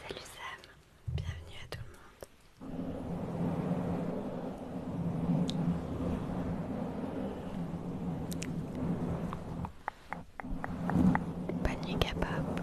Salut Sam, bienvenue à tout le monde. Panier capable.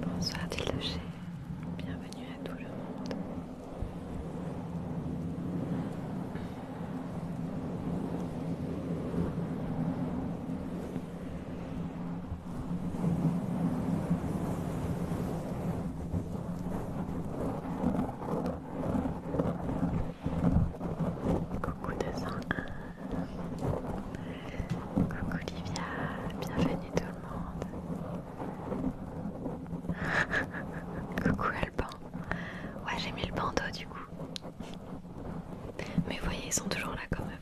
Bonsoir Tildoché, bienvenue à tout le monde. Coucou 201. Coucou Livia. Bienvenue tout le monde. Coucou Alban. Ouais, j'ai mis le bandeau du coup. Mais vous voyez, ils sont toujours là quand même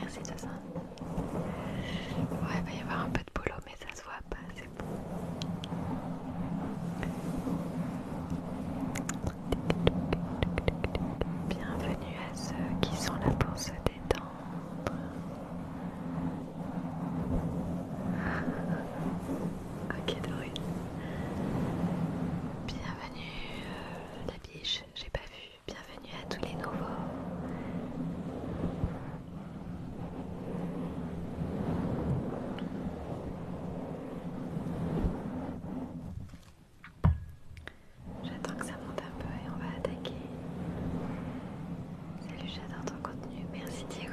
merci de ça. Ouais, il va y avoir un peu de boulot, mais ça se voit pas, c'est bon. Bienvenue à ceux qui sont là pour se détendre. Ok Doris, Bienvenue bienvenue euh, la biche, j'ai pas vu. Bienvenue à tous les nouveaux. J'attends que ça monte un peu et on va attaquer. Salut, j'adore ton contenu. Merci Diego.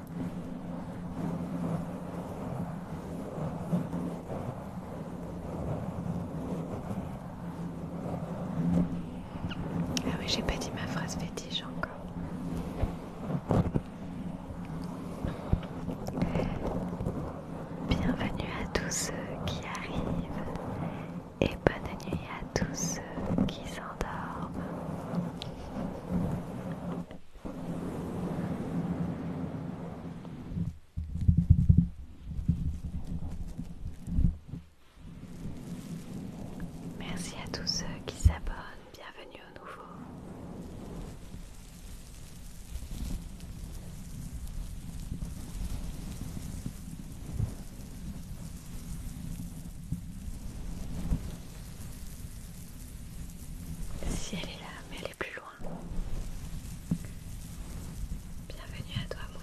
Ah oui, j'ai pas dit ma phrase fétiche encore. Bienvenue à tous ceux qui arrivent et bonne nuit à tous ceux qui s'endorment. Merci à tous ceux qui s'abonnent, bienvenue au nouveau. Si elle est là, mais elle est plus Bienvenue à toi Mouna.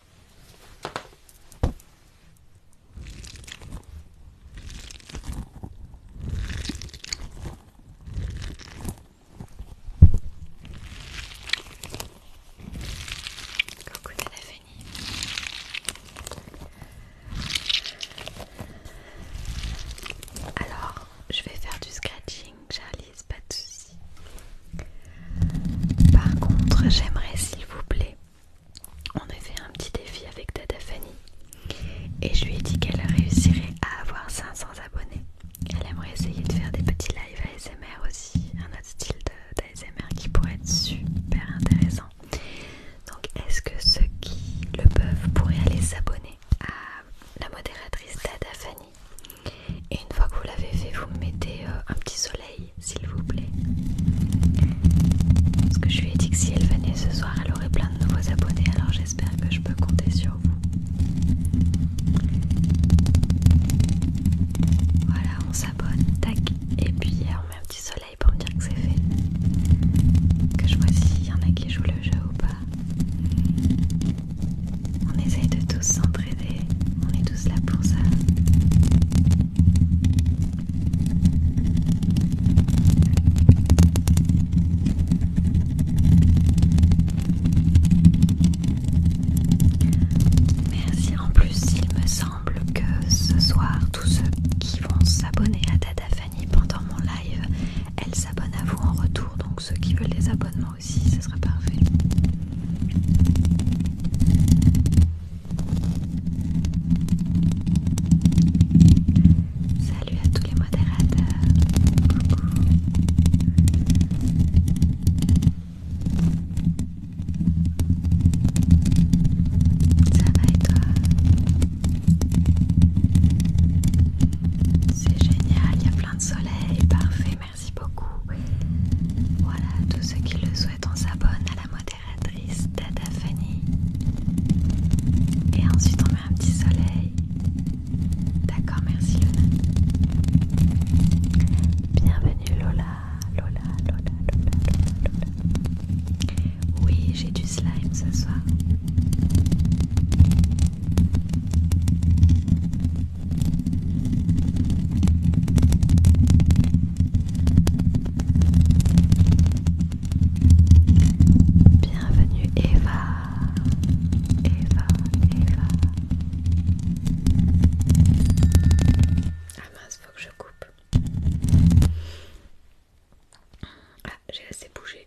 Alors, je vais faire du scratching, c'est pas de soucis. Par contre, j'aimerais s'il vous plaît on a fait un petit défi avec dada Fanny et je lui ai dit qu'elle réussirait à avoir 500 abonnés. Elle aimerait essayer de faire des petits lives ASMR aussi, un autre style d'ASMR qui pourrait être super intéressant. Donc est-ce que ceux qui le peuvent pourraient aller s'abonner à la modératrice dada Fanny Et une fois que vous l'avez fait, vous mettez euh, un petit soleil s'il vous plaît. Parce que je lui ai dit que si elle venait ce soir, elle aurait plein de nouveaux abonnés, alors j'espère que je peux compter sur vous. Voilà, on s'abonne, tac, et puis on met un petit soleil pour me dire que c'est fait. Que je vois s'il y en a qui jouent le jeu ou pas. On essaye de tous s'entraider, on est tous là pour ça. Merci en plus, il me semble que ce soir, tous ceux qui vont s'abonner à Tata Fanny pendant mon live, elle s'abonnent à vous en retour, donc ceux qui veulent les abonnements aussi, ce serait parfait. Salut à tous les modérateurs. Coucou. Ça va et C'est génial, il y a plein de soleil, parfait, merci beaucoup. Voilà, tous ceux qui le souhaitent, on s'abonne à la modération triste Et ensuite on met un petit soleil. D'accord, merci Luna. Bienvenue Lola, Lola, Lola, Lola, Lola, Lola. Oui, j'ai du slime ce soir. Bienvenue Eva, Eva, Eva. Ah mince, faut que je coupe. Ah, j'ai assez bougé.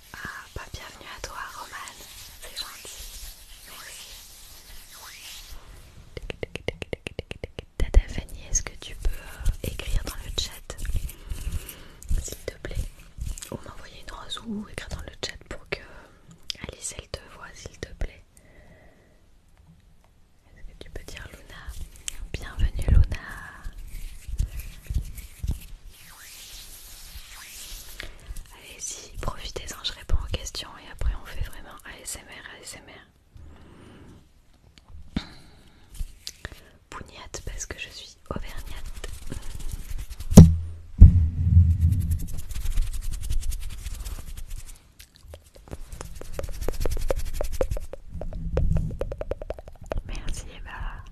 Ah, bah bienvenue à toi, Roman. C'est gentil. Merci. Tata Fanny, est-ce que tu peux euh, écrire dans le chat, s'il te plaît, ou m'envoyer une rose ou écrire dans le chat pour que euh, Alice elle te voie, s'il te plaît. Est-ce que tu peux dire Luna Bienvenue Luna Allez-y, profitez-en, je réponds aux questions et après on fait vraiment ASMR, ASMR. Pougnate parce que je suis auvergnate. Merci Eva.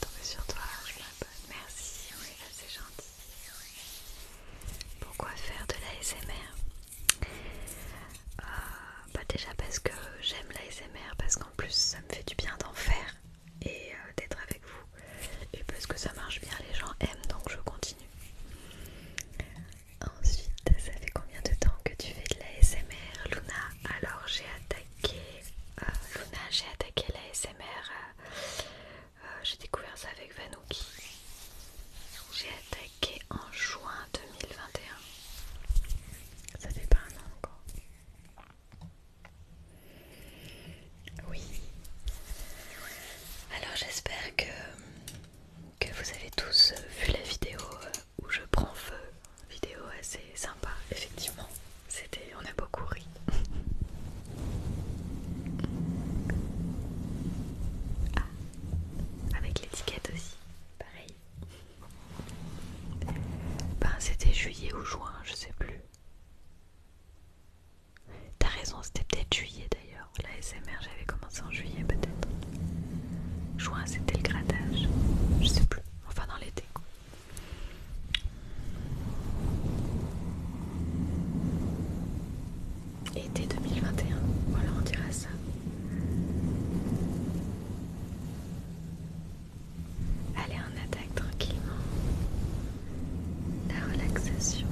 Tomber sur toi, je m'abonne. Merci, oui, c'est gentil. Pourquoi faire de l'ASMR euh, bah Déjà parce que j'aime l'ASMR, parce qu'en plus ça me fait du bien d'en faire et euh, d'être avec et parce que ça marche bien, les gens aiment donc je continue. Ensuite, ça fait combien de temps que tu fais de la Luna Alors j'ai attaqué euh, Luna, j'ai attaqué la SMR. Euh, euh, j'ai découvert ça avec Vanouki. J'ai attaqué en juin 2021. Ça fait pas un an encore. Oui. Alors j'espère que, que vous avez tous euh, vu la vidéo euh, où je prends feu. Vidéo assez sympa, effectivement. C'était, on a beaucoup ri. Ah, avec l'étiquette aussi, pareil. Ben c'était juillet ou juin, je sais plus. T'as raison, c'était peut-être juillet d'ailleurs. La SMR, j'avais commencé en juillet peut-être. Juin, c'était le grattage. Je sais plus. Enfin, dans l'été. Été 2021. Voilà, on dira ça. Allez, on attaque tranquillement la relaxation.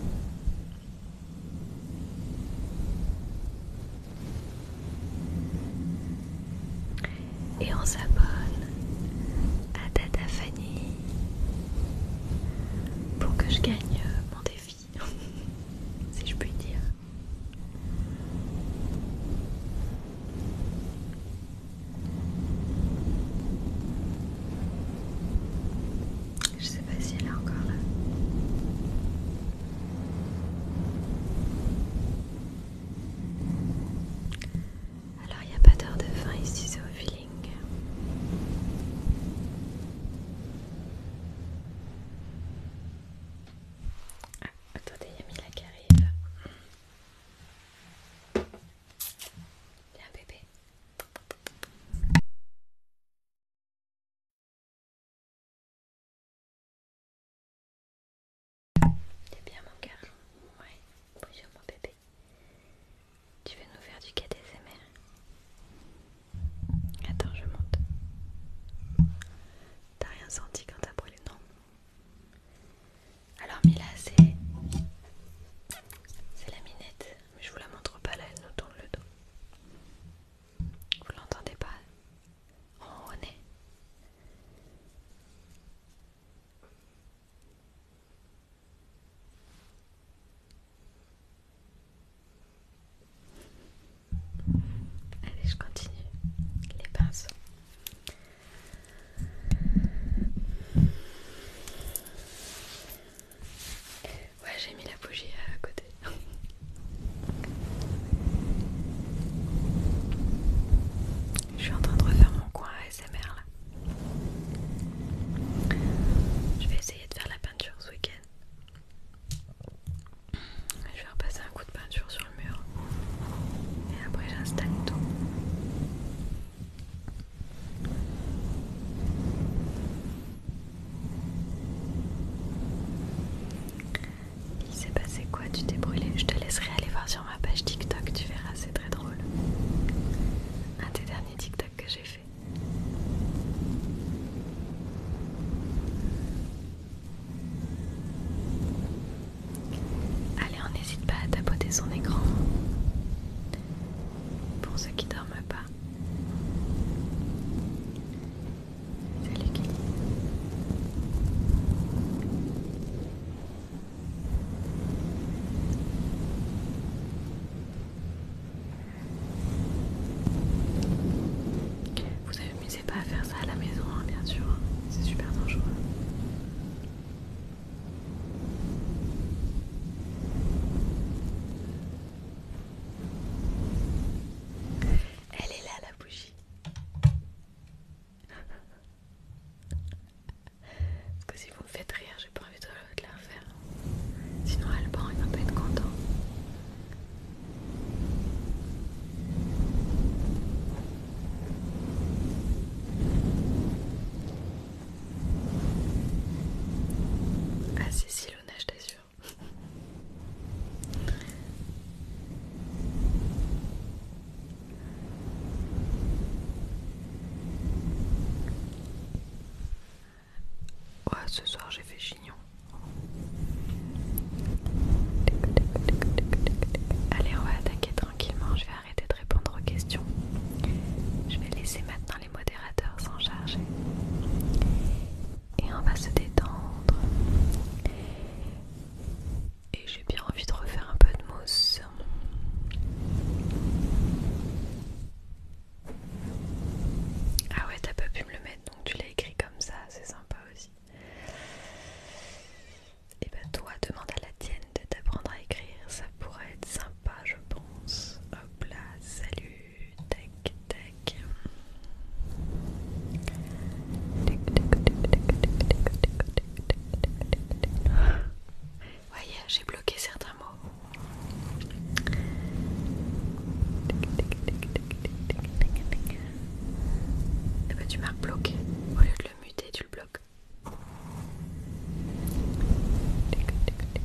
Et on s'abonne à Tata Fanny pour que je gagne euh, mon défi, si je puis dire. Je sais pas si elle est encore là. Alors il n'y a pas d'heure de fin ici, c'est au feeling. Ah, attendez, il y a Mila qui arrive. Il y un bébé. T'es eh bien mon garçon. Ouais, bonjour mon bébé. Tu veux nous faire du KDSMR Attends, je monte. T'as rien senti quand t'as brûlé, non Alors Mila, c'est... C'est la minette mais je vous la montre pas là, elle nous tourne le dos. Vous l'entendez pas On est. Allez, je continue les pinceaux. Ouais, j'ai mis la bougie à côté. Je suis en train de refaire mon coin smr là. Je vais essayer de faire la peinture ce week-end. Je vais repasser un coup de peinture sur le mur. Et après j'installe tout. Il s'est passé quoi Tu t'es brûlé Je te laisserai aller voir sur ma page TikTok, tu verras, c'est très drôle. Un des derniers TikTok que j'ai fait. Allez, on n'hésite pas à tapoter son écran. Pour ceux qui dorment pas, vous n'avez Vous amusez pas à faire ça à la maison, hein, bien sûr, hein. c'est super dangereux. Elle est là la bougie. Parce que si vous me faites rire, j'ai pas envie de la refaire. Sinon Alban il va pas être content. Ah Cécile ce soir j'ai fait chignon. Allez, on va attaquer tranquillement. Je vais arrêter de répondre aux questions. Je vais laisser maintenant les modérateurs s'en chargés. Et on va se détendre. Et j'ai bien envie de refaire un peu de mousse. Ah ouais, t'as pas pu me le mettre, donc tu l'as écrit comme ça, c'est sympa aussi. Et ben toi, demande à la tienne de t'apprendre à écrire, ça pourrait être sympa pas, je pense. Hop là, salut, tac, tac. Voyez, j'ai bloqué certains mots. Et eh bah, ben, tu marques bloqué. Au lieu de le muter, tu le bloques.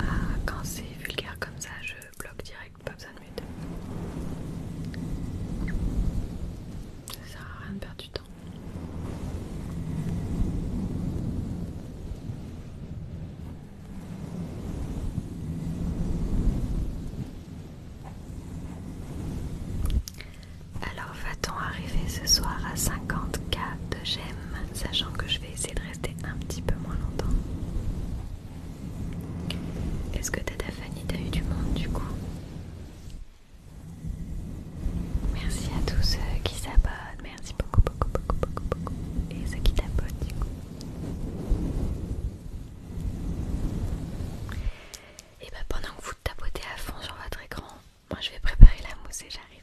Ah, quand c'est vulgaire comme ça, je bloque direct, pas besoin de mute. Ça sert à rien de perdre du temps. Alors va-t-on arriver ce soir à 54 k de j'aime, sachant que je vais essayer de un petit peu moins longtemps. Est-ce que Tata tu t'as eu du monde du coup Merci à tous ceux qui s'abonnent, merci beaucoup, beaucoup, beaucoup, beaucoup, beaucoup, et ceux qui t'abonnent du coup. Et eh bah ben, pendant que vous tapotez à fond sur votre écran, moi je vais préparer la mousse et j'arrive.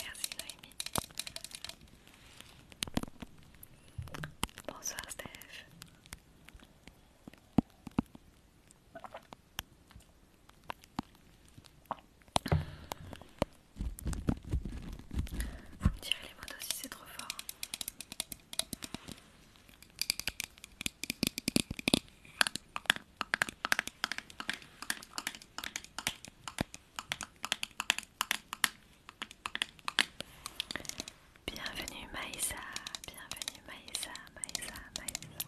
Merci Noémie. Bonsoir Steph. Vous me direz les mots aussi, c'est trop fort. Bienvenue Maïsa, bienvenue Maïsa, Maïsa, Maïsa.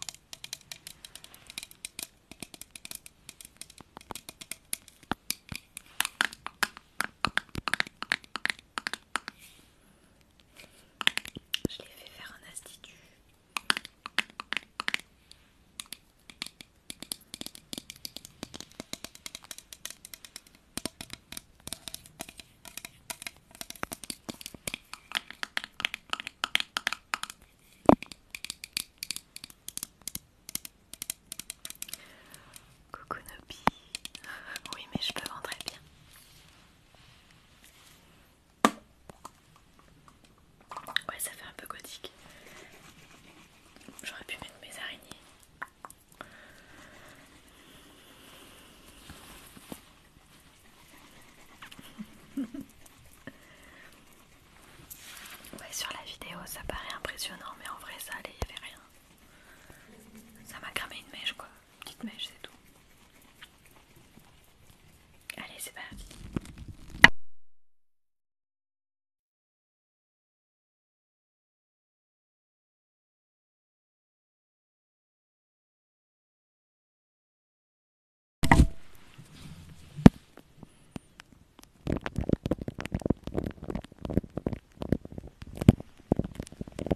Je l'ai fait faire un institut. Coucou Oui, mais je peux rentrer bien. Ouais, ça fait un peu gothique. J'aurais pu mettre mes araignées. ouais, sur la vidéo, ça paraît impressionnant, mais en vrai, ça allait, il avait rien. Ça m'a cramé une mèche, quoi petite mèche, c'est tout. Allez, c'est parti.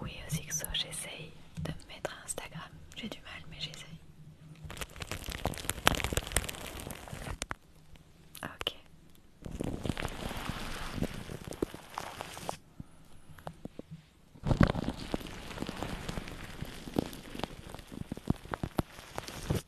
Oui, oui, ça, j'essaye de me mettre à Instagram. J'ai du mal, mais j'essaye. Ok.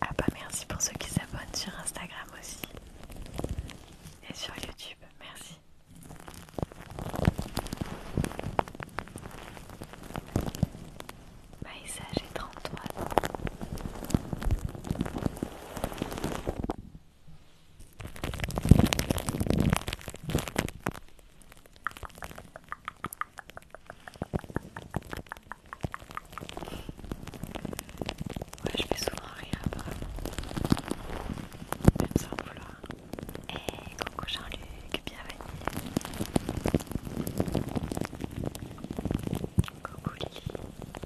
Ah bah merci pour ceux qui s'abonnent sur Instagram aussi et sur YouTube, merci. Maïssa, j'ai Ouais, je fais souvent rien apparemment. Même sans vouloir. Et coucou Jean-Luc, bienvenue. Coucou Lily.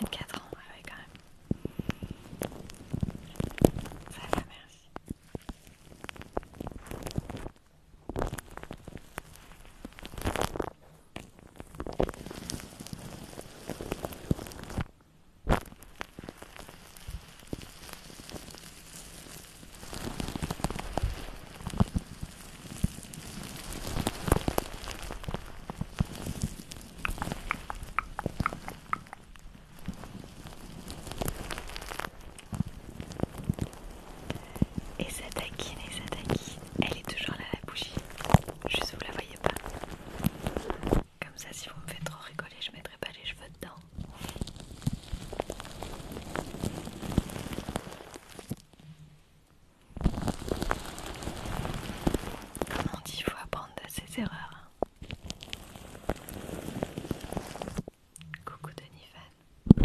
24 ans, ah oui quand même. Ça va, merci. Et ça et ça Elle est toujours là la bougie. Juste vous la voyez pas. Comme ça si vous me faites trop rigoler je mettrai pas les cheveux dedans. Comme on dit, il faut apprendre de ses erreurs. Coucou Denis Fan.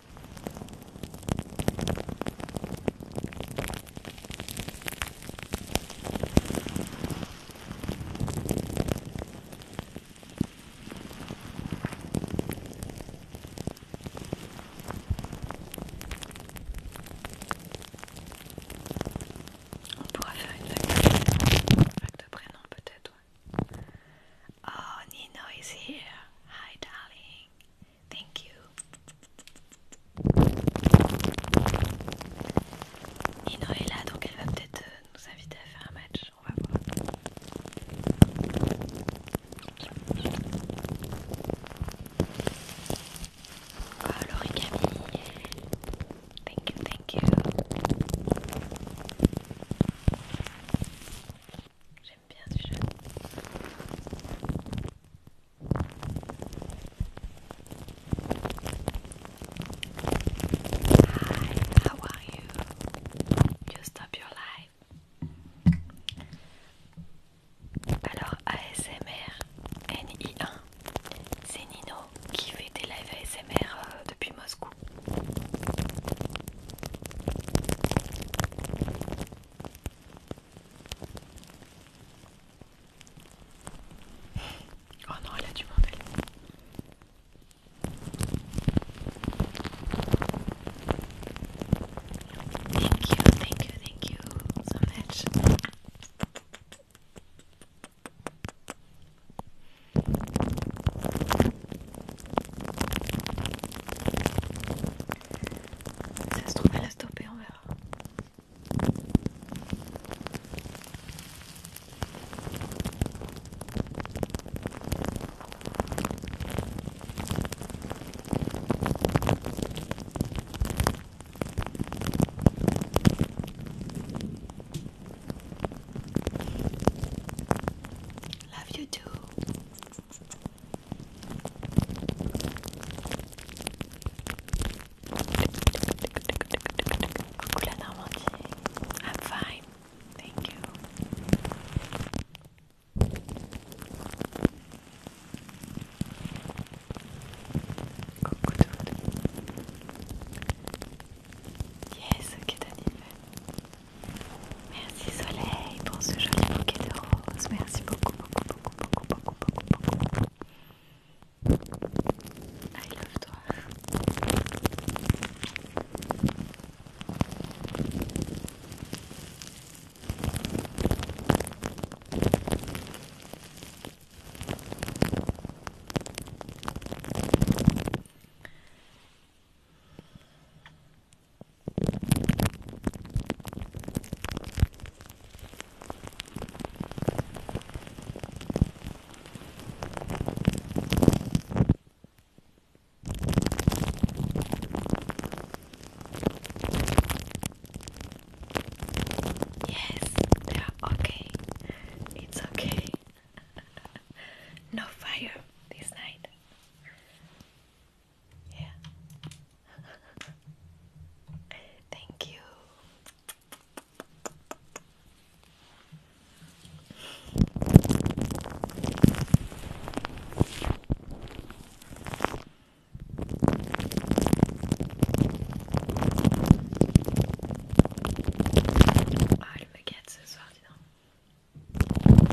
On pourra faire une vague de prénom peut-être Oh, Nino is here. Hi, darling. Thank you. Nino est là, donc elle va peut-être euh, nous inviter à faire un match. On va voir. Oh, l'origami. Thank you, thank you j'aime bien ce jeu. Hi, how are you? You stop your life. Alors ASMR NI1, c'est Nino qui fait des live ASMR euh, depuis Moscou. Oh non, elle a du bordel. Thank you, thank you, thank you so much. Ça se trouve, elle a stoppé, on verra. Love you too. I'm fine, thank you. Yes, okay, Danny. Merci Soleil pour ce joli bouquet de roses. Merci beaucoup, beaucoup, beaucoup, beaucoup, beaucoup, beaucoup, beaucoup. I love toi. Yes, they are okay. It's okay. no fire this night. Yeah. Thank you. Ölme geçsin zaten. Petite seconde,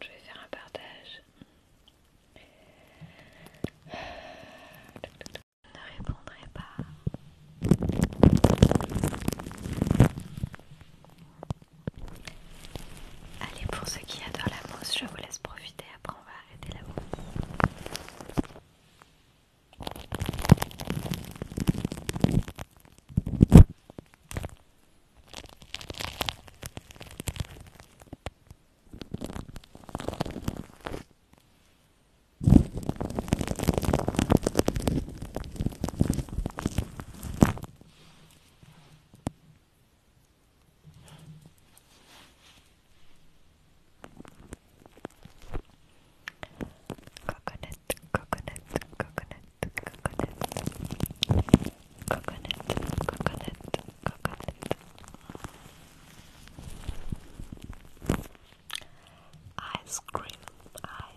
je vais faire un partage. Je ne répondrai pas. Allez, pour ceux qui adorent la mousse, je vous laisse profiter. Après, on va arrêter la mousse. Coconut, coconut, coconut, coconut, coconut, coconut, coconut. Ice cream,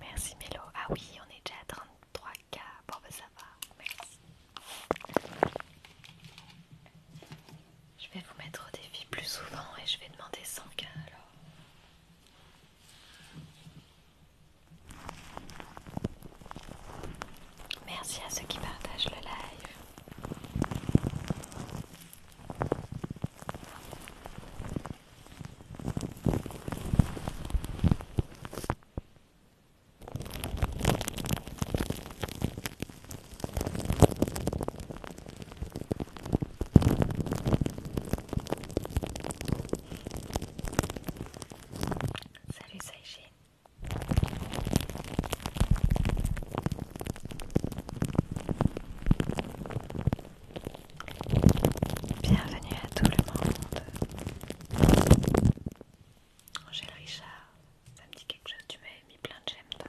Merci Mélo. Ah oui, on est déjà à 33K. pour ben ça Merci. Je vais vous mettre au défi plus souvent et je vais demander 100K alors. Merci à ceux qui partagent le live. Salut Saïchi. Bienvenue à tout le monde. Angèle Richard, ça me dit quelque chose, tu m'avais mis plein de j'aime toi.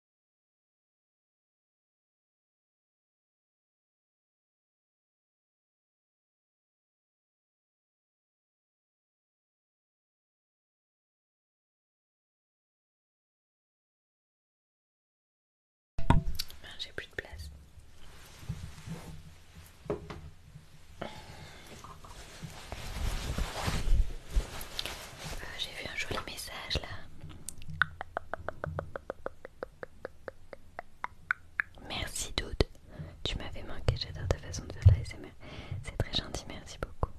Ben, J'ai plus de place. Ah, j'ai vu un joli message là. Merci Doud. Tu m'avais manqué, j'adore ta façon de faire la C'est très gentil, merci beaucoup.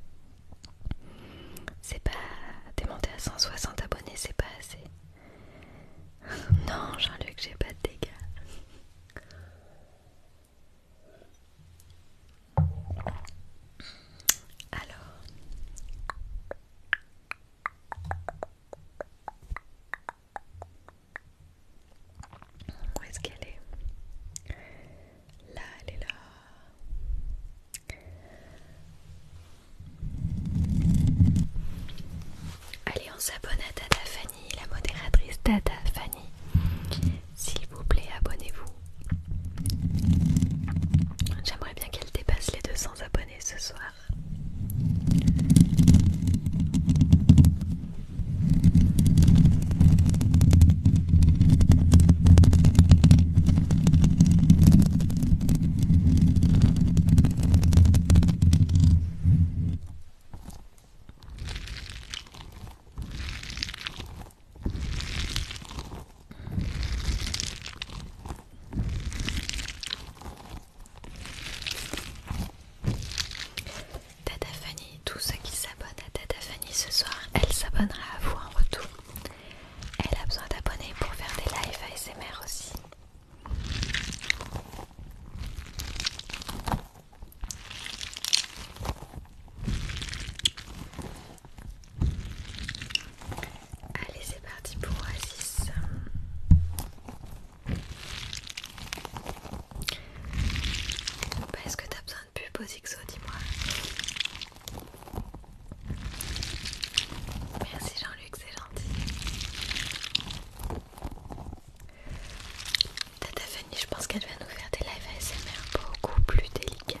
C'est pas... T'es monté à 160 abonnés, c'est pas assez. Non, Jean-Luc, j'ai pas de dégâts. Alors. Où est-ce qu'elle est, Là, elle est là. Allez, on s'abonne à Tata Fanny, la modératrice Tata Fanny. S'il vous plaît, abonnez-vous. J'aimerais bien qu'elle dépasse les 200 abonnés ce soir. Tata Fanny, tous ceux qui s'abonnent à Tata Fanny ce soir, elle s'abonnera à vous en retour. Elle a besoin d'abonner pour faire des lives ASMR aussi. Allez, c'est parti pour Oasis. Est-ce que t'as besoin de pub aux XO Dis-moi. Merci Jean-Luc, c'est gentil. Tata Fanny, je pense qu'elle va nous faire des lives ASMR beaucoup plus délicats,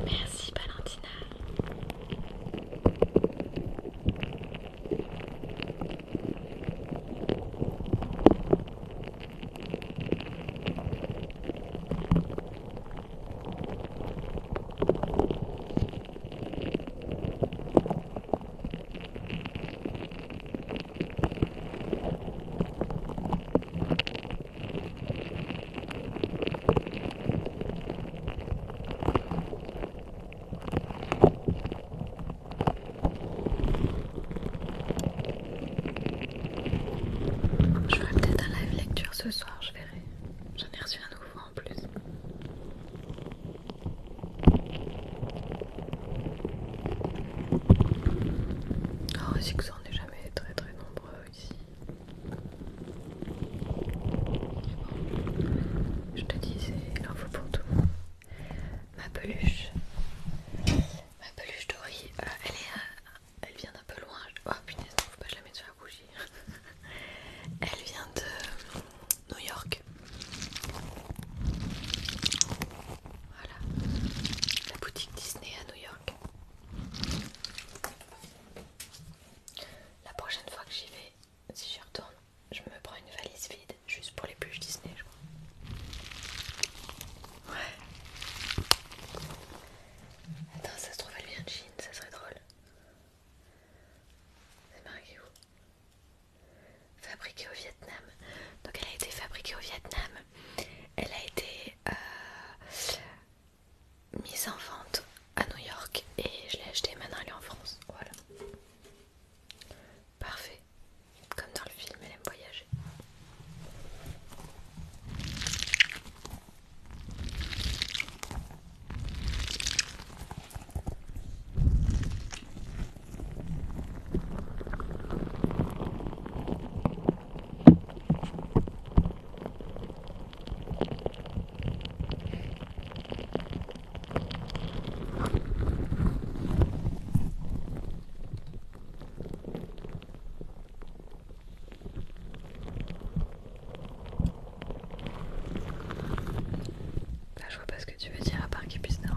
Merci Valentina. Je ferai peut-être un live lecture ce soir, je verrai. J'en ai reçu un nouveau en plus. Oh, c'est que ça on n'est jamais très très nombreux ici. Je te dis, c'est en pour tout le monde. Ma peluche, ma peluche Dorie. Euh, elle, est, euh, elle vient d'un peu loin. Oh punaise, faut pas jamais sur faire bouger. elle vient de New York. Voilà, la boutique Disney à New York. La prochaine fois que j'y vais, si j'y retourne, je me prends une valise vide juste pour les bûches Disney, je crois. Ouais. Attends, ça se trouve, elle vient de Chine, ça serait drôle. C'est marqué où Fabriquée au Vietnam. Donc elle a été fabriquée au Vietnam. Elle a été euh, mise en vente à New York et je l'ai achetée maintenant elle est en France. Voilà. Parfait. Comme dans le film, elle aime voyager. Là, bah, je vois pas ce tu veux dire à part qu'il puisse dormir.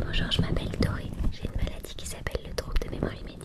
Bonjour, je m'appelle Doré. J'ai une maladie qui s'appelle le trouble de mémoire immédiate.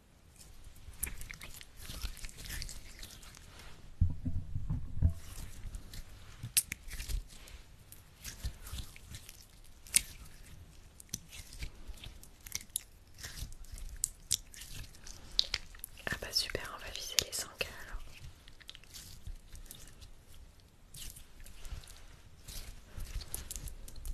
Ah bah super, on va viser les 100 alors.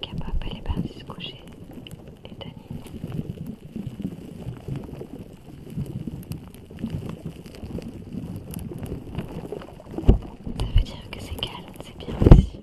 Capable, elle est se coucher. Et Dani. Ça veut dire que c'est calme, c'est bien ici.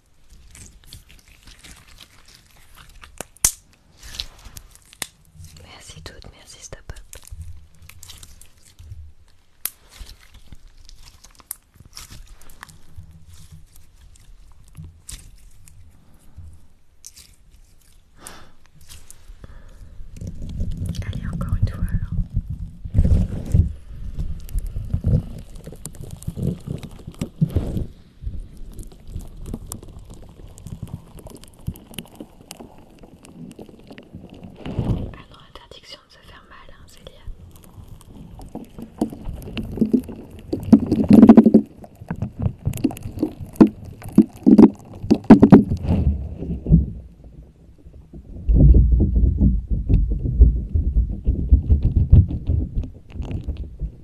Merci toutes, merci Stop Up. Allez, encore une fois alors. Alors interdiction de se faire mal, c'est hein, Célia.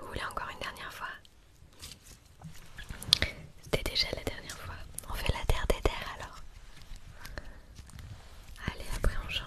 Vous voulez encore une dernière fois c'était déjà la dernière fois. On fait la terre des terres alors. Allez, après on change.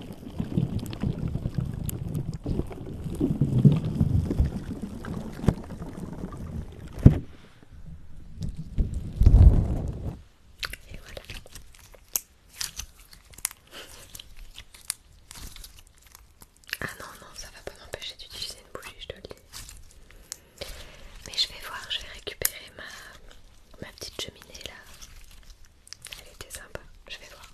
Et voilà. Ah non, non, ça va pas m'empêcher d'utiliser une bougie, je te le dis. Mais je vais voir, je vais récupérer ma, ma petite cheminée là. Elle était sympa, je vais voir.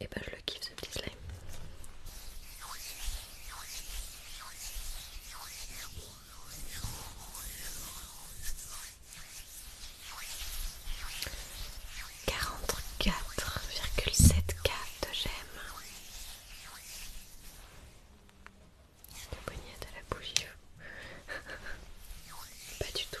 Et bah ben, je le kiffe ce petit slime. 44,7 k de gemme. La poignette à la bougie. Pas du tout.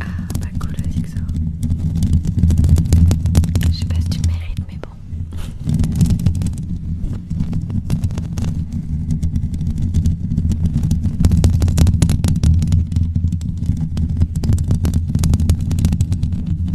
Ah, pas cool le zigzag. Je sais pas si tu mérites, mais bon.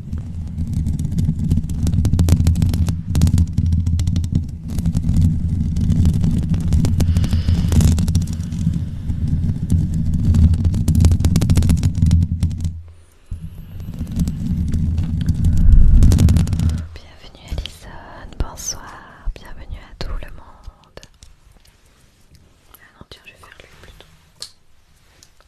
Bienvenue Alison, bonsoir, bienvenue à tout le monde. Ah non, tiens, je vais faire lui plutôt.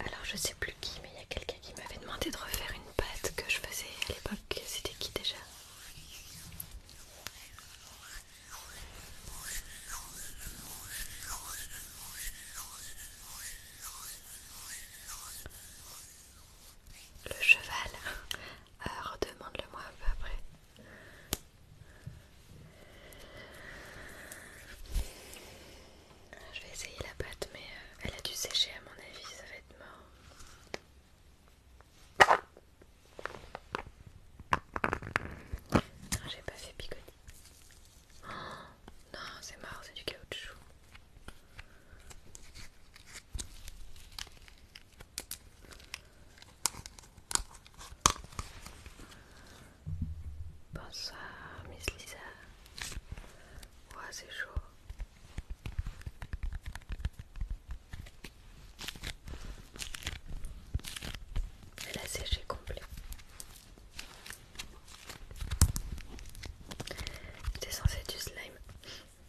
Alors je sais plus qui, mais il y a quelqu'un qui m'avait demandé de refaire une pâte que je faisais à l'époque. C'était qui déjà Le cheval ah, Redemande-le moi un peu après. Je vais essayer la pâte, mais euh, elle a dû sécher à mon avis, ça va être mort. Ah, j'ai pas fait picoter. Oh, non, c'est mort, c'est du caoutchouc. Bonsoir, Miss Lisa. Ouais, c'est chaud. Elle a séché complet. C'est censé du slime.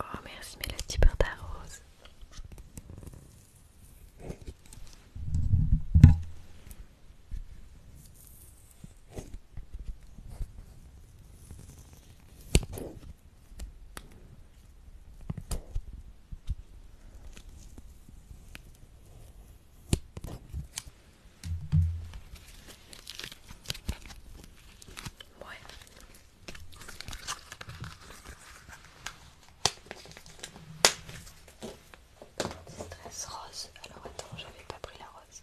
Oh merci mais pour ta rose. Ouais. rose. Alors attends, j'avais pas pris la rose.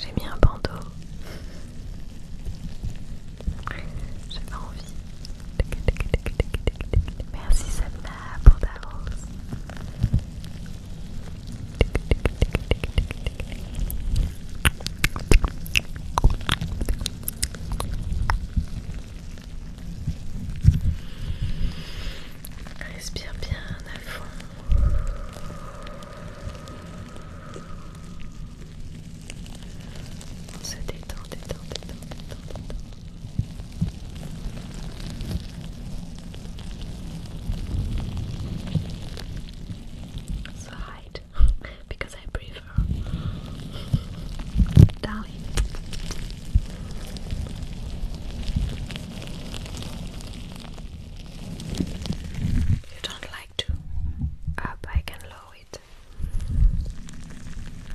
J'ai mis un bandeau. J'ai pas envie. Merci Salma pour bande Respire bien à fond. On se détend, détend, détend, détend, détend. So because I prefer dying. You don't like to up, I can lower it.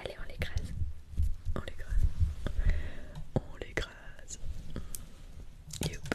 Allez, on les l'écrase. On les l'écrase. On l'écrase. Et Hop.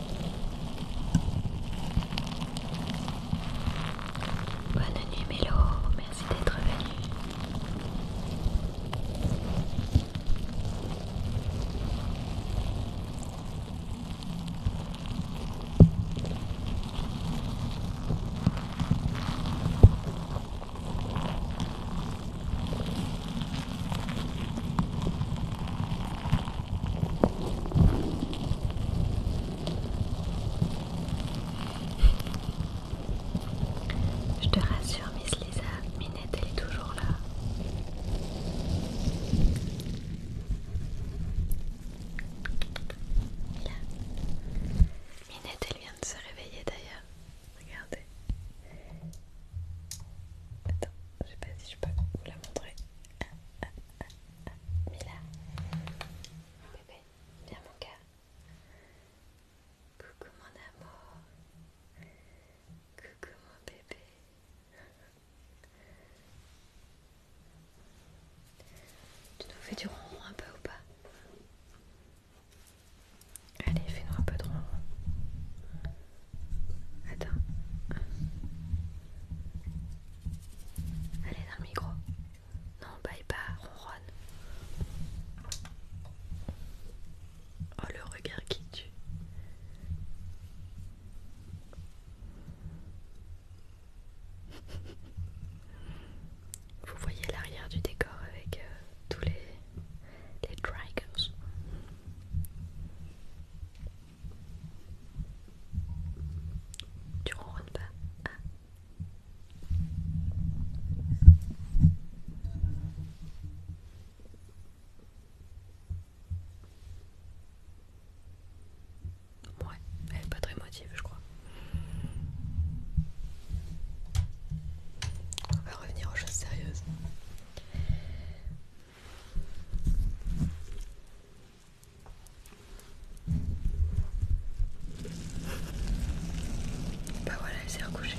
Bonne nuit Mélo, merci d'être venu. Je te rassure, Miss Lisa, Minette, elle est toujours là. Minette, elle vient de se réveiller d'ailleurs. Regardez. Attends, je sais pas si je peux vous la montrer. Ah, ah, ah. Ah, Mila. Bébé, viens mon cœur. Coucou mon amour. Coucou mon bébé. Tu nous fais du ronron un peu ou pas Allez, fais-nous un peu de ronron. Attends. Allez dans le micro. Non, bye pas, ronronne. Oh le regard qui tue. Vous voyez l'arrière du décor avec euh, tous les, les tu ronronnes pas ah. elle pas très motive, je crois. On va revenir aux choses sérieuses. Bah voilà, elle s'est recouchée.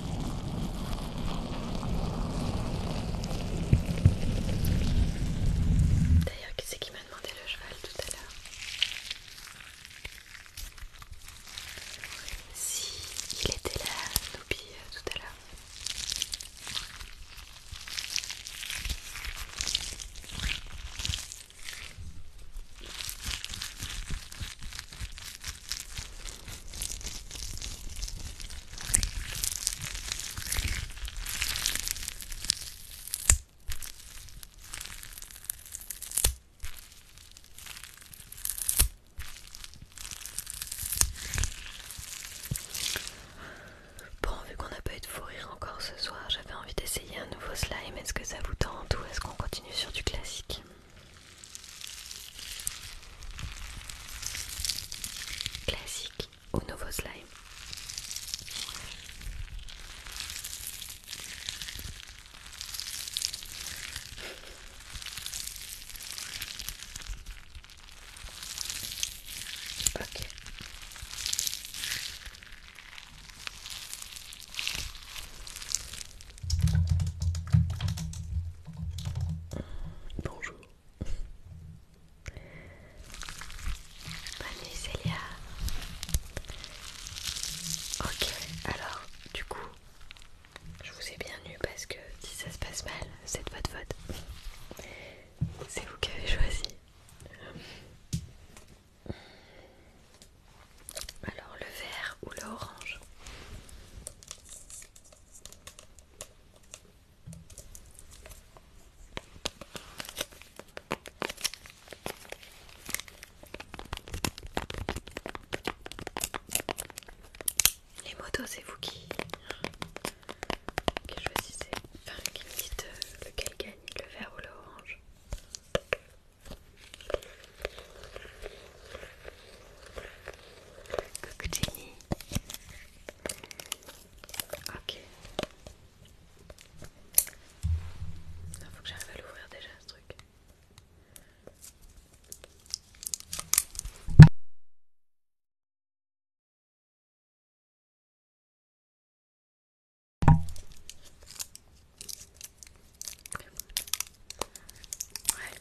D'ailleurs, qui c'est qui m'a demandé le cheval tout à l'heure Si il était là, n'oublie euh, tout à l'heure. Bon, vu qu'on n'a pas eu de fou rire encore ce soir, j'avais envie d'essayer un nouveau slime. Est-ce que ça vous tente ou est-ce qu'on continue sur du classique Classique au nouveau slime Bonjour. Bonne nuit Célia. Ok, alors du coup, je vous ai bien parce que si ça se passe mal, c'est de votre faute. C'est vous qui avez choisi. Alors le vert ou l'orange les motos, c'est vous qui, choisissez, qui me dites euh, lequel gagne, le vert ou l'orange. Coucou Jenny. Ok. Il ah, faut que j'arrive à l'ouvrir déjà ce truc. Ouais.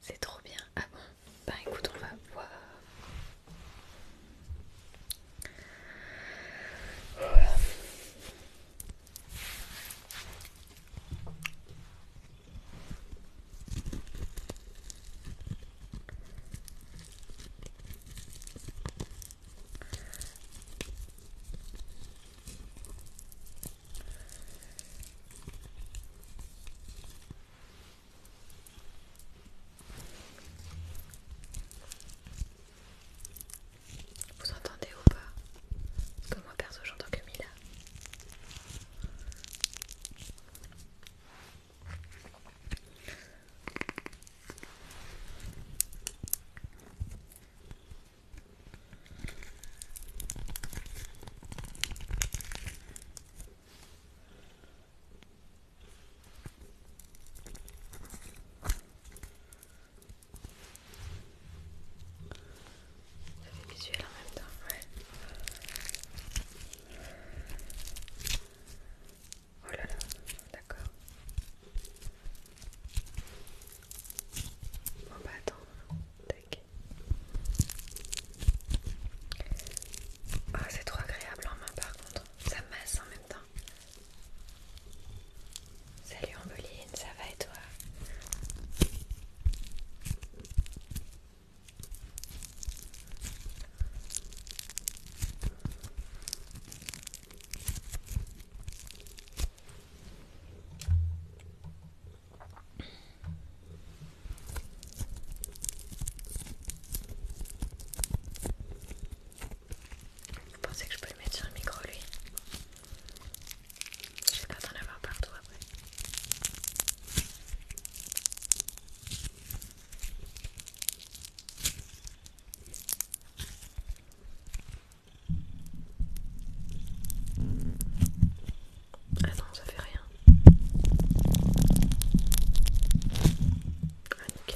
C'est trop bien. Ah bon ben, écoute, on va voir. Vous entendez ou pas Comme que moi perso j'entends que Mila. Ça fait visuel en même temps, ouais. Oh là là, d'accord. Oh, bon bah, ah, c'est trop agréable en main par contre. Ça masse en même temps. Salut Ambeline, ça va et toi vous pensez que je peux le mettre sur le micro lui Je J'ai pas d'en avoir partout après. Ah non, ça fait rien. Ah,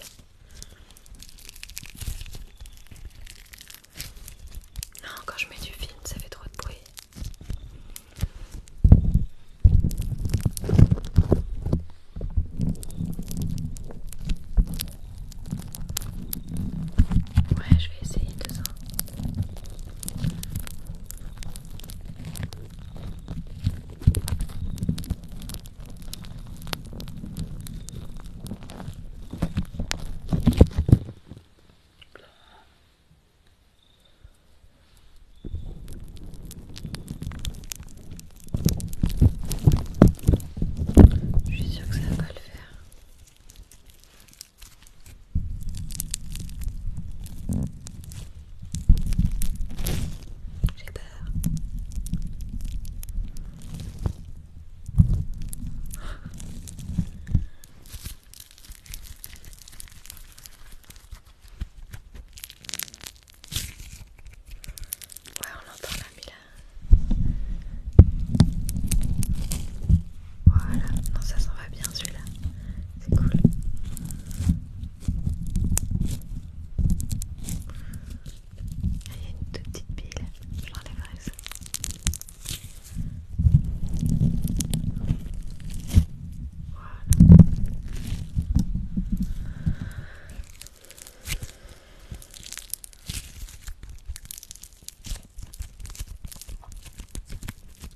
Non, ah, quand je mets du film, ça fait trop de bruit. Ouais, je vais essayer de ça. Je suis sûr que ça va le faire. J'ai peur. Ouais, on l'entend là, Mila. Voilà, non, ça s'en va bien celui-là. C'est cool. Ah, il y a une toute petite pile, je l'enlèverai ça. Voilà.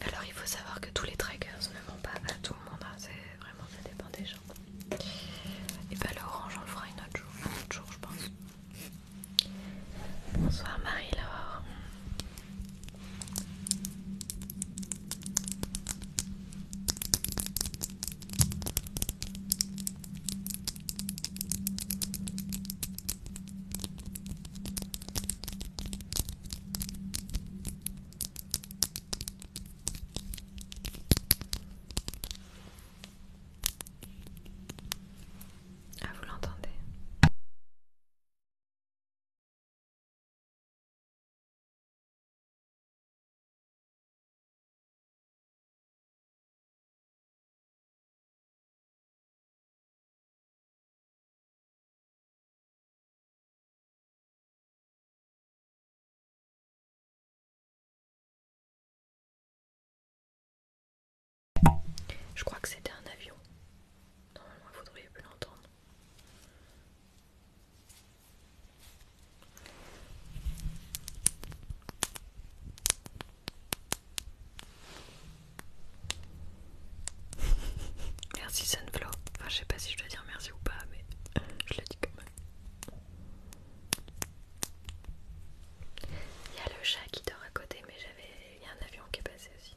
Alors il faut savoir que tous les trackers ne vont pas à tout le monde, hein. c'est vraiment ça dépend des gens. Et bah l'orange on le fera une autre jour, un autre jour je pense. Bonsoir Marie-Laure. Ah, vous l'entendez je crois que c'était un avion. Normalement, il faudrait plus l'entendre. Merci Sunflow. Enfin, je sais pas si je dois dire merci ou pas, mais je le dis quand même. Il y a le chat qui dort à côté, mais j'avais. Il y a un avion qui est passé aussi.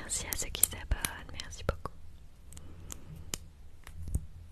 Merci à ceux qui s'abonnent, merci beaucoup.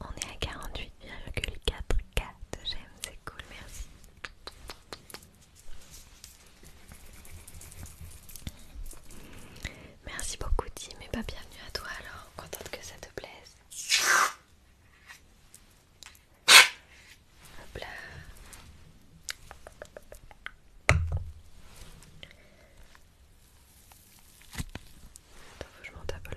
On est à 48,4K de j'aime, c'est cool, merci. Merci beaucoup Tim et pas bah, bienvenue à toi alors, contente que ça te plaise. Hop là. Attends, je monte à le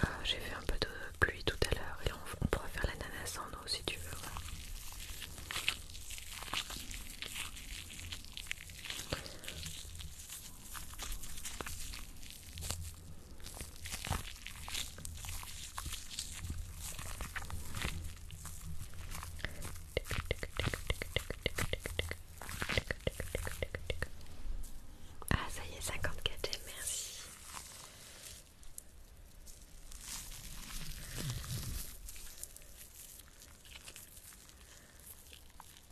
ah, j'ai fait un peu de pluie tout à l'heure et on, on pourra faire l'ananas en eau si tu veux. Ah ça y est, 54 quatre merci.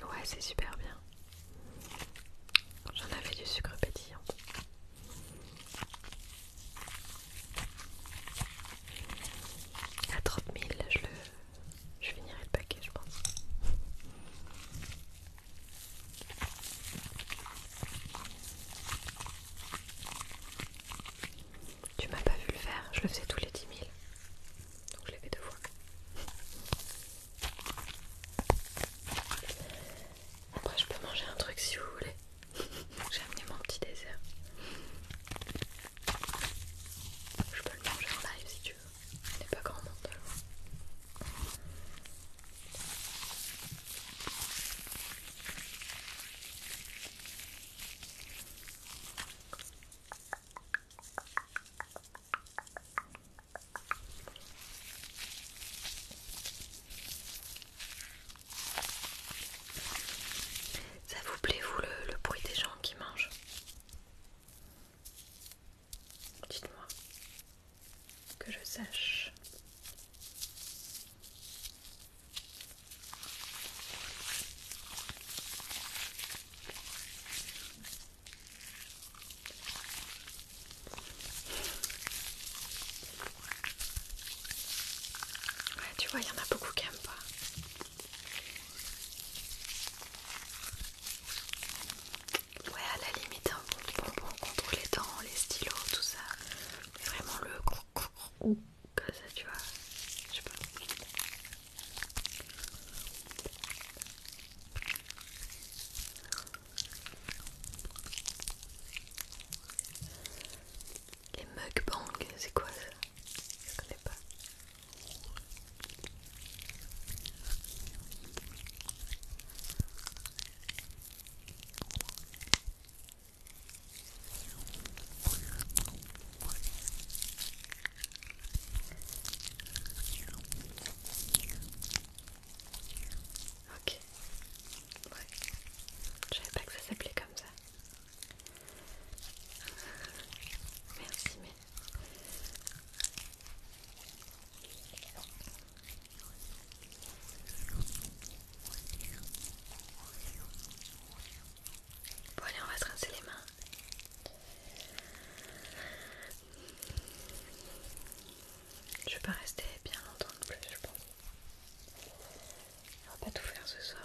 Ouais, c'est super bien. J'en avais du sucre pétillant. À 30 000, je, le... je finirai le paquet, je pense. Tu m'as pas vu le faire, je le faisais tous les 10 000. Donc je l'ai fait deux fois. Après je peux manger un truc si vous voulez. J'ai amené mon petit dessert. Je peux le manger en live si tu veux. Il n'est pas grand monde ça vous plaît, vous, le, bruit des gens qui mangent Dites-moi que je sache. tu vois, il y en a beaucoup qui n'aiment pas. Ouais, à la limite, un les dents, les stylos, tout ça. vraiment le ou comme ça, tu vois. Je sais pas. Les mukbangs, c'est quoi ça Je connais pas. Ok, je savais pas que ça s'appelait comme ça. Merci, mais... Bon allez, on va se rincer les mains. Je vais pas rester bien longtemps le plus, je pense. On va pas tout faire ce soir.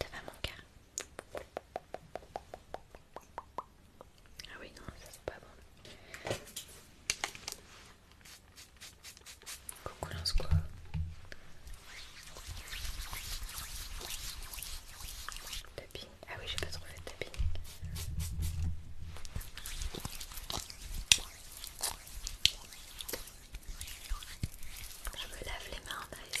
Ça va mon cœur Ah oui non, ça c'est pas bon. Coucou lance quoi ah oui, j'ai pas trouvé de tapis. Je me lave les mains en les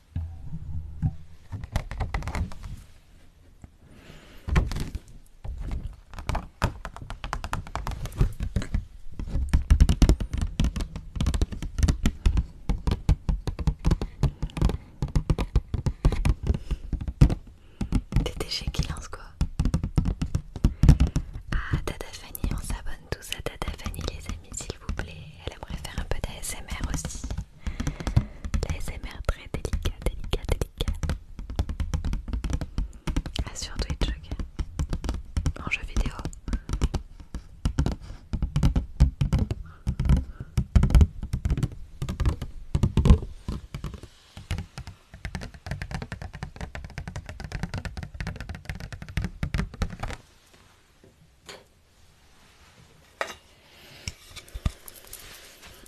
Des chez qui lance quoi Ah Tata Fanny, on s'abonne tous à Tata Fanny les amis s'il vous plaît. Elle aimerait faire un peu d'ASMR aussi. L'ASMR très délicat, délicat, délicat. sur Twitch, En jeu vidéo.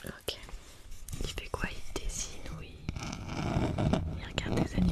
Ok. Il fait quoi Il dessine ou il... regarde des animés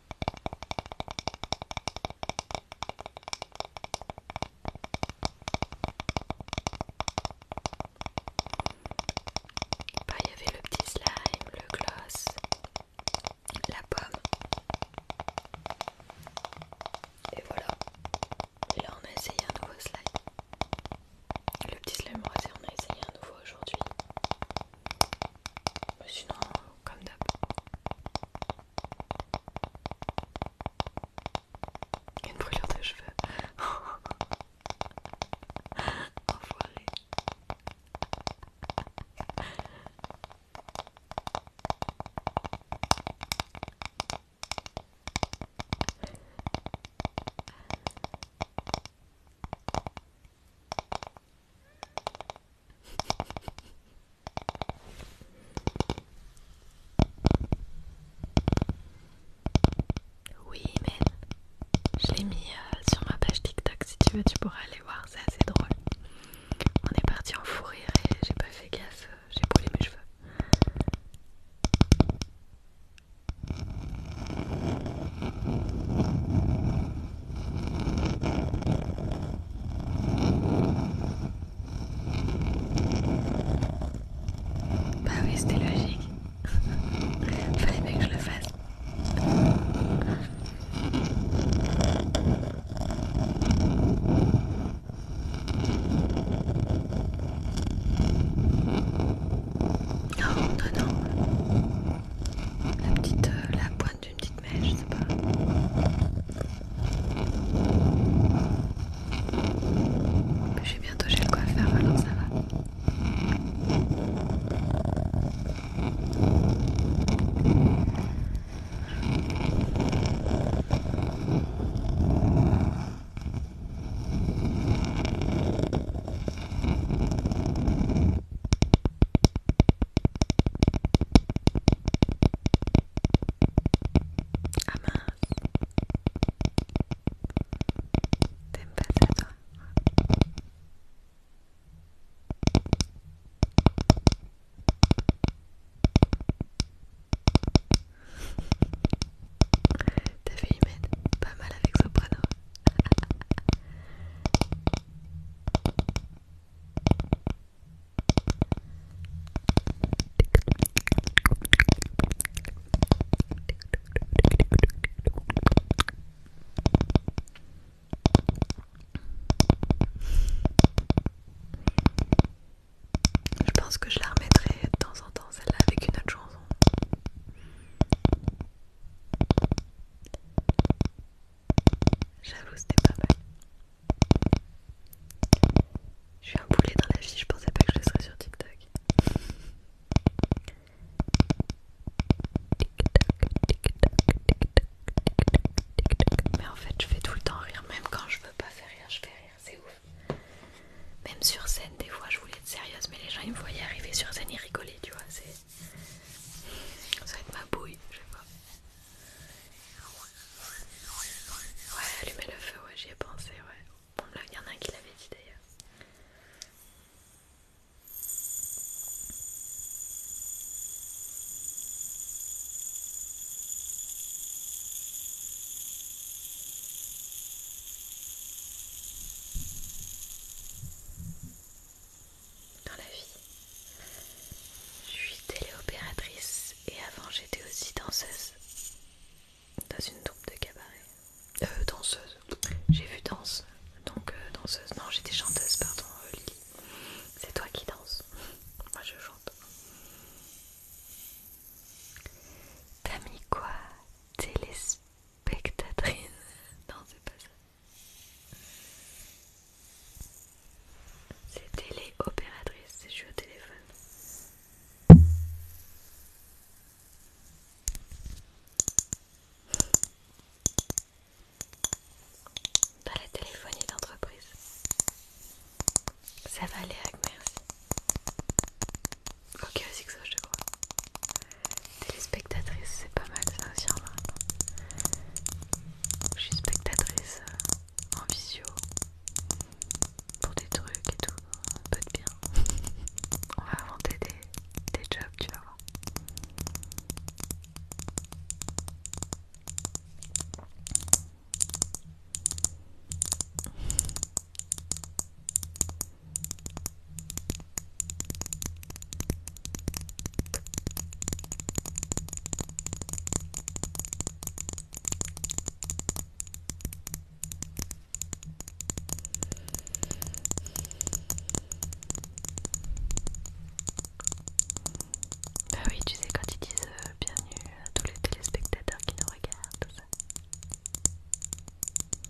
Bah, il y avait le petit slime, le gloss, la pomme. Et voilà. Et là, on a essayé un nouveau slime. Le petit slime rosé, on a essayé un nouveau aujourd'hui. Bah, sinon, comme d'hab. Une brûlure de cheveux. Oui, mais je l'ai mis euh, sur ma page TikTok. Si tu veux, tu pourras aller voir, c'est assez drôle. On est parti en fourrir et j'ai pas fait gaffe, j'ai brûlé mes cheveux. Bah oui, c'était logique. Fallait bien que je le fasse. Non oh, non, non, la petite euh, la boîte prenne une petite mèche, je sais pas. Je vais bientôt j'ai le coiffeur, alors ça va. Ah mince. pas pas mal avec Soprano Je pense que je la remettrai de temps en temps celle-là avec une autre chanson. J'avoue, c'était pas mal. Je suis un boulet dans la vie, je pensais pas que je le serais sur TikTok. Mais en fait, je fais tout le temps rire, même quand je veux pas faire rire, je fais rire, c'est ouf. Même sur scène, des fois, je voulais être sérieuse, mais les gens ils me voyaient arriver sur scène, ils rigolaient, tu vois. Ça va être ma bouille, je sais pas. Ouais, allumer le feu, ouais, j'y ai pensé, ouais. Bon, là, il y en a un qui l'avait dit d'ailleurs dans la vie. Je suis téléopératrice et avant j'étais aussi danseuse dans une troupe de cabaret. Euh, danseuse. J'ai vu danse, donc euh, danseuse. Non, j'étais chanteuse, pardon, euh, Lily. C'est toi qui danses. Moi je chante. T'as mis quoi Téléspectatrice Non, c'est pas ça. C'est téléopératrice, c'est je suis au téléphone. Dans la téléphonie d'entreprise. Ça va aller avec merci. Ok, aussi que ça, je te crois. Téléspectatrice c'est pas mal ça aussi hein, en Je suis spectatrice euh, en visio pour des trucs et tout, un peu de bien. On va inventer des, des jobs, tu vas voir. Bah oui, tu sais, quand ils disent euh, bienvenue à tous les téléspectateurs qui nous regardent, tout ça.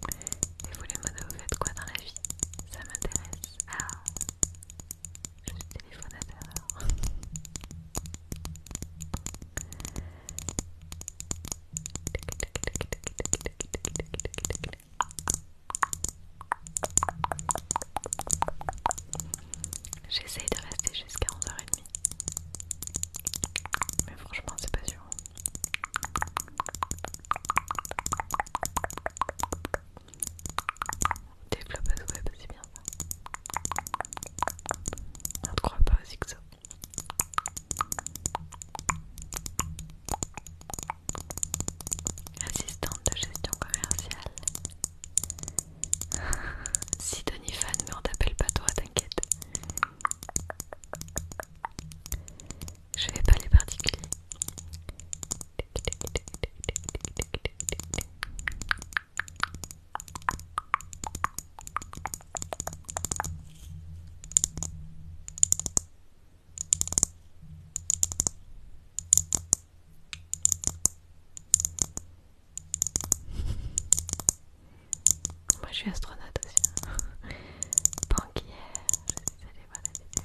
Et vous les modos, vous faites quoi dans la vie Ça m'intéresse. Ah le téléphone à terreur. J'essaye de rester jusqu'à 11h30. Mais franchement, c'est pas sûr. Développeuse web, c'est bien ça. On ne croit pas aux que Assistante de gestion commerciale. si Tony fan, mais on t'appelle pas toi, t'inquiète. Je vais pas les particuliers. Moi je suis astronaute aussi. Hein. Banquière, je suis allé voir la vidéo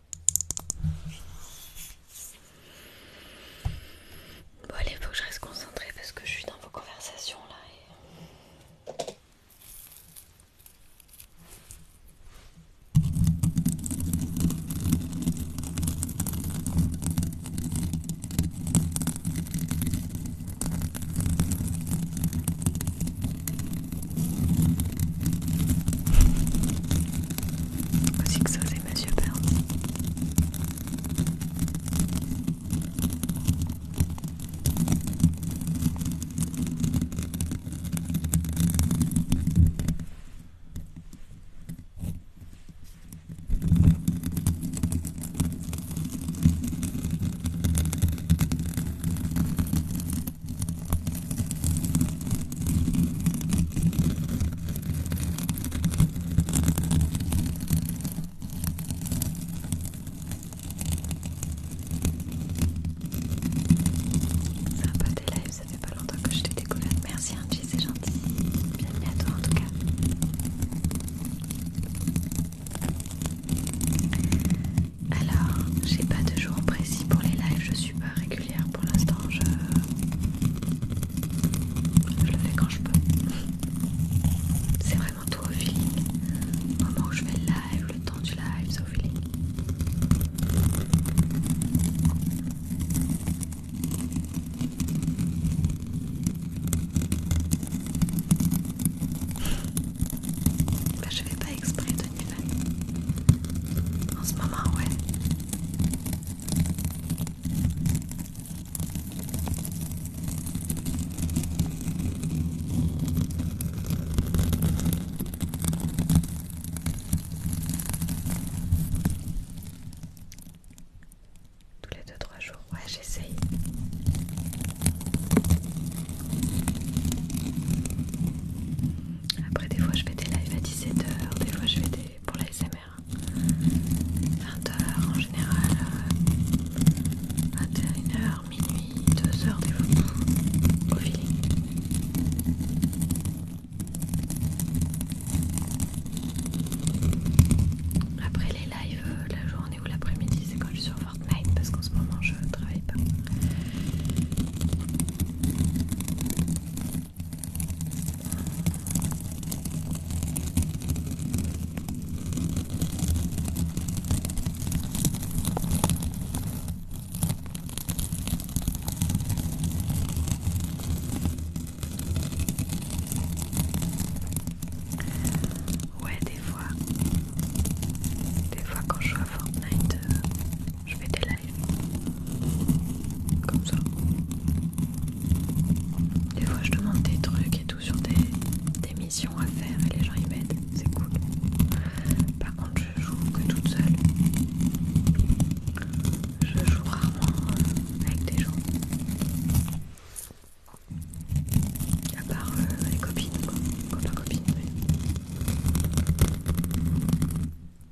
Bon allez, faut que je reste concentré parce que je suis dans vos conversations là aussi que ça, c'est Monsieur Burns. C'est un peu des lives, ça fait pas longtemps que je t'ai découvert. Merci Angie, c'est gentil. Bienvenue à toi en tout cas. Alors, j'ai pas de jour précis pour les lives, je suis pas régulière pour l'instant, je... le fais quand je peux. C'est vraiment tout au feeling. Le moment où je fais le live, le temps du live, c'est au feeling. Bah, je je vais pas exprès de En ce moment, ouais. Tous les 2-3 jours, ouais j'essaye. Après des fois je fais des lives à 17h, des fois je fais des pour la SMR. 20h en général, 21h, euh, minuit, 2h des fois, au feeling. Après les lives, euh, la journée ou l'après-midi, c'est quand je suis sur Fortnite parce qu'en ce moment je travaille pas. Ouais, des fois, des fois quand je vois Fortnite, euh, je fais des comme ça. Des fois, je demande des trucs et tout sur des, missions à faire et les gens y mettent, C'est cool. Par contre, je joue que toute seule. Je joue rarement euh, avec des gens. À part euh, les copines, quoi. copines, et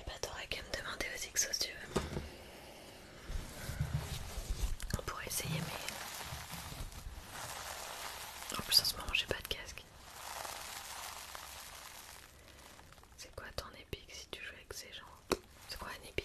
eh bah ben, t'aurais qu'à me demander aux exos si tu veux. On pourrait essayer mais... En plus en ce moment j'ai pas de casque. C'est quoi ton épique si tu joues avec ces gens C'est quoi un épique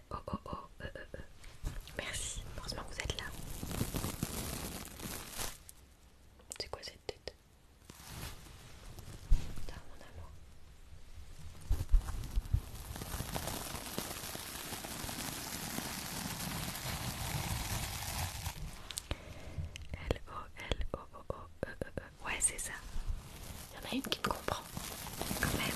Oh oh Merci, heureusement vous êtes là. C'est quoi cette tête mon amour. L O L O O Ouais, c'est ça. Il y en a une qui me comprend quand même.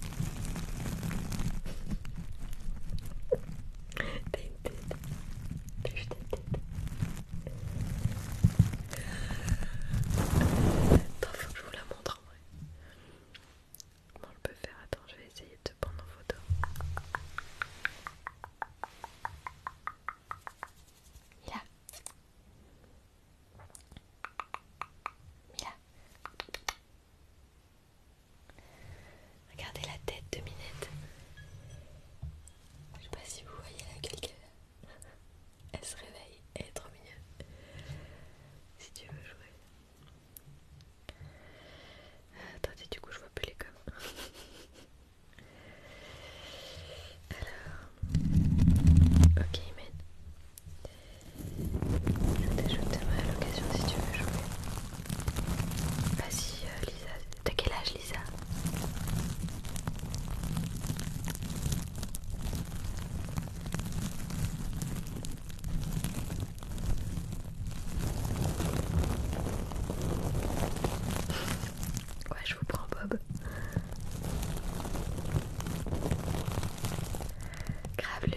T'as une tête. T'as juste ta tête. Attends, faut que je vous la montre en vrai. Comment on peut faire Attends, je vais essayer de te prendre en photo. Mila. Mila. Regardez la tête de Minette. Je sais pas si vous voyez la gueule qu'elle a. Elle se réveille, elle est trop mignonne. Si tu veux jouer. attendez, du coup, je vois plus les Alors, ok, Minette. Je t'ajouterai à l'occasion si tu veux jouer. Vas-y euh, Lisa, de quel âge Lisa Ouais, je vous prends Bob. Gravelu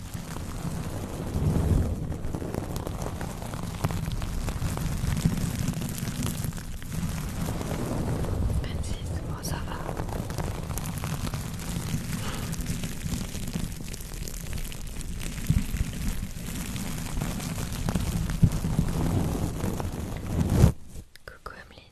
26, ça va. Coucou Ameline.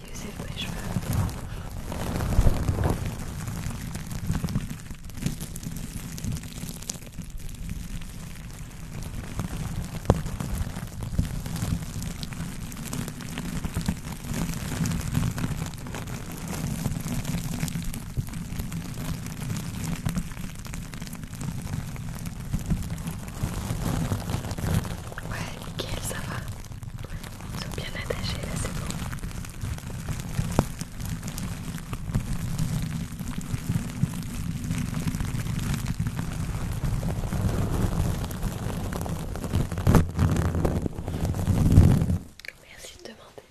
user pour cheveux. Ouais, ça va. Ils sont bien attachés là, c'est bon. Merci de demander.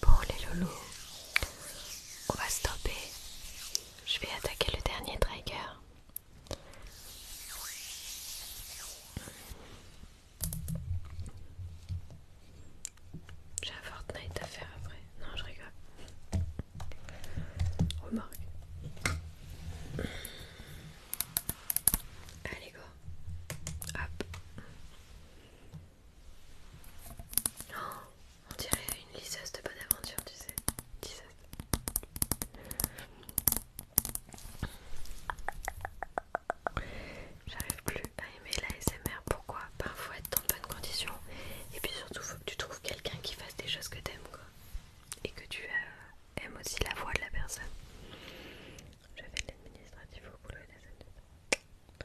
Pour les loulous, on va stopper je vais attaquer le dernier trigger. J'ai un Fortnite à faire après. Non, je rigole. Remarque. Allez, go. Hop. Non. Oh. On dirait une lisseuse de bonne aventure, tu sais. J'arrive plus à aimer l'ASMR. Pourquoi Parfois, être dans de bonnes conditions. Et puis surtout, faut que tu trouves quelqu'un qui fasse des choses que t'aimes, quoi. Et que tu euh, aimes aussi la voix de la personne. Je fais de l'administratif au boulot et la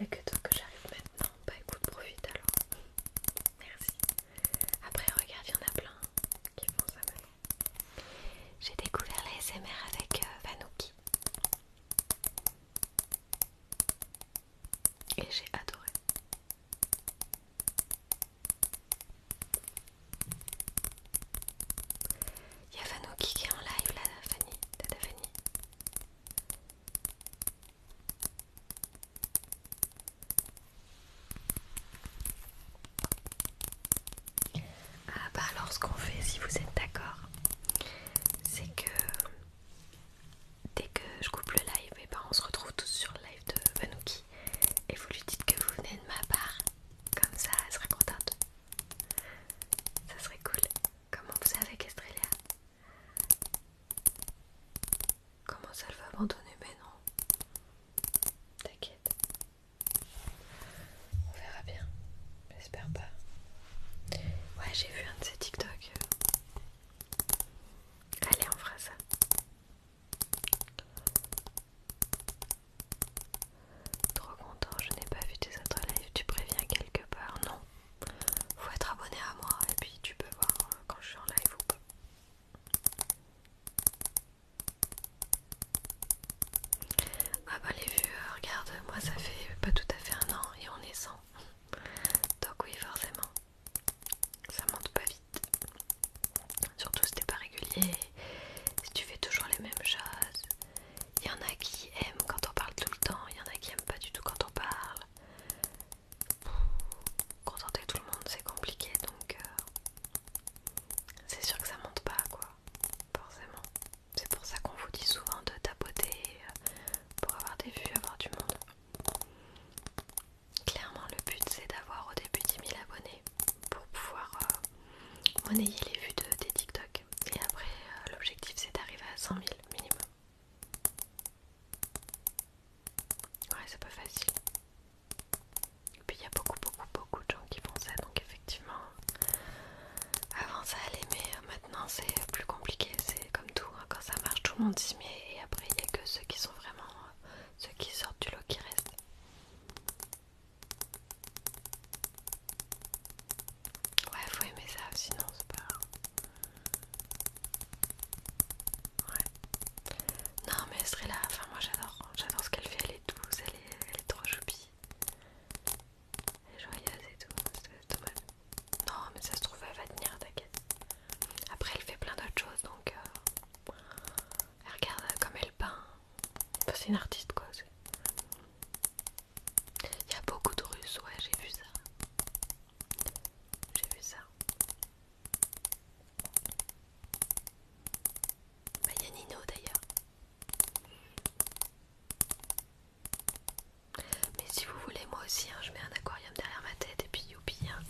Il a que toi que j'arrive maintenant. Bah écoute, profite alors. Merci. Après, regarde, il y en a plein qui font ça J'ai découvert les SMR avec euh, Vanouki. Et j'ai adoré. Il y a Vanouki qui est en live là, Fanny, Ah bah alors ce qu'on fait si vous êtes d'accord c'est que dès que je coupe le live eh ben, on se retrouve tous sur le live de Vanouki et vous lui dites que vous venez de ma part comme ça elle serait contente ça serait cool Comment vous qu'est-ce avec Estrelia Comment ça le va abandonner Mais non. T'inquiète. On verra bien. J'espère pas. Ouais, j'ai vu un de ces TikTok. Allez, on fera ça. Trop content, je n'ai pas vu tes autres lives, tu préviens quelque part Non. Faut être abonné à moi et puis tu peux voir euh, quand je suis en live ou pas. Ah bah les vues, regarde, moi ça fait pas tout à fait un an et on est 100. Donc oui, forcément. Ça monte pas vite. Surtout si t'es pas régulier, si tu fais toujours les mêmes choses, il y en a qui aiment quand on parle tout le temps, il y en a qui aiment pas du tout quand on parle. Contenter tout le monde, c'est compliqué donc euh, c'est sûr que ça monte pas quoi, forcément. C'est pour ça qu'on vous dit souvent de tapoter euh, pour avoir des vues, avoir du monde. Clairement, le but c'est d'avoir au début 10 000 abonnés pour pouvoir euh, monnayer les vues de, des TikTok. Et après, euh, l'objectif c'est d'arriver à 100 000 minimum. Ouais, c'est pas facile. Et puis il y a beaucoup, beaucoup, beaucoup de gens qui font ça, donc effectivement, avant ça allait, mais euh, maintenant c'est plus compliqué. C'est comme tout, hein. quand ça marche, tout le monde s'y met, et après il n'y a que ceux qui sont vraiment euh, ceux qui sortent du lot qui restent. Ouais, faut aimer ça, sinon c'est pas. Ouais. Non, mais elle là, enfin moi j'adore, j'adore ce qu'elle fait, elle est douce, elle est, trop choupie. Elle est joyeuse et tout, c'est dommage. Non, mais ça se trouve, elle va tenir, t'inquiète. Après, elle fait plein d'autres choses donc. Euh, elle regarde comme elle peint. c'est une artiste quoi. c'est... Il y a beaucoup de Russes, ouais, j'ai vu ça. J'ai vu ça. Bah, il y a Nino d'ailleurs. Mais si vous voulez, moi aussi, hein, je mets un aquarium derrière ma tête et puis youpi. Hein.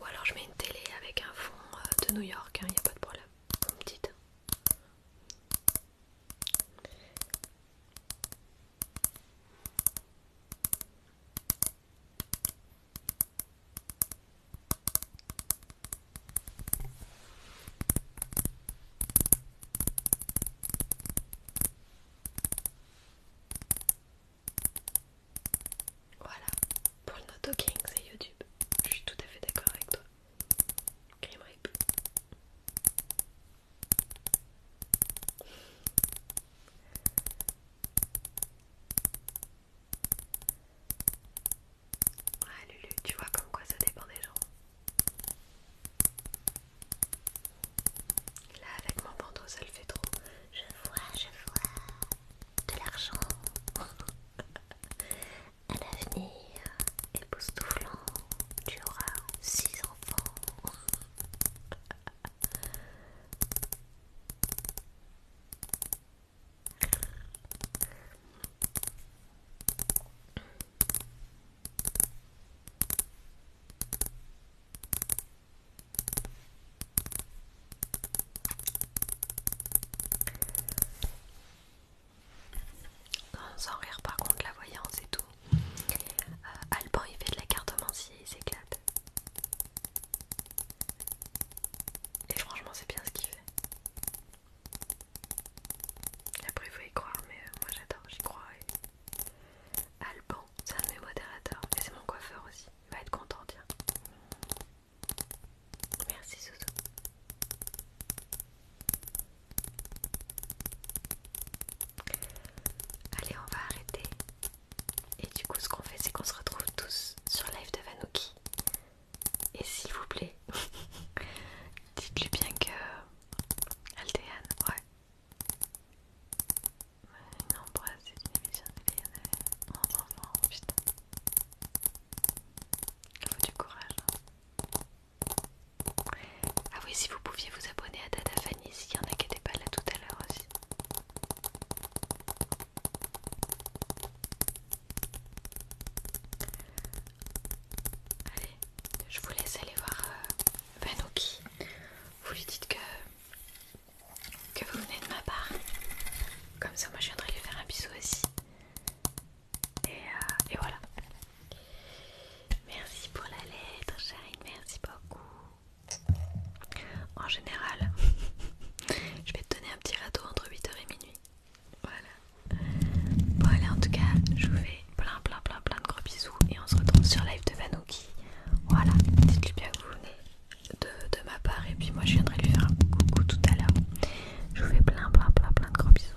Ou alors je mets une télé avec un fond euh, de New York, il hein, n'y a pas de problème. Vous me dites. Voilà, pour le no talking, c'est YouTube. Je suis tout à fait d'accord avec toi. Ah Lulu, tu vois comme quoi ça dépend des gens. Là avec mon bandeau ça le fait trop. Je vois, je vois de l'argent à l'avenir. Et époustouflant. Tu auras 6 enfants sans rire par contre, la voyance et tout. Euh, Alban il fait de la cartomancie, il s'éclate. Et franchement c'est bien ce qu'il fait. Après il faut y croire, mais euh, moi j'adore, j'y crois. Alban, c'est un de mes modérateurs. Et c'est mon coiffeur aussi, il va être content, tiens. Merci Zouzou. Allez, on va arrêter. Et du coup, ce qu'on fait, c'est qu'on se retrouve tous sur live de Vanouki. Et s'il vous plaît, dites-lui bien que. Aldéane, ouais. Une embrasse, c'est une émission de Lionel. On non, putain. Il faut du courage. Hein. Ah oui, si vous pouviez vous abonner à Dada Fanny, s'il y en a qui n'étaient pas là tout à l'heure aussi. Allez, je vous laisse aller voir euh, Vanoki. Vous lui dites que, que vous venez de ma part. Comme ça, moi je viendrai lui faire un bisou aussi. et euh, voilà. Merci pour la lettre, Charine, merci beaucoup. En général, je vais te donner un petit râteau entre 8h et minuit. Voilà. Bon, allez, en tout cas, je vous fais plein, plein, plein, plein de gros bisous et on se retrouve sur live de Vanouki. Voilà, dites-lui bien que vous de, de ma part et puis moi je viendrai lui faire un coucou tout à l'heure. Je vous fais plein, plein, plein, plein de gros bisous.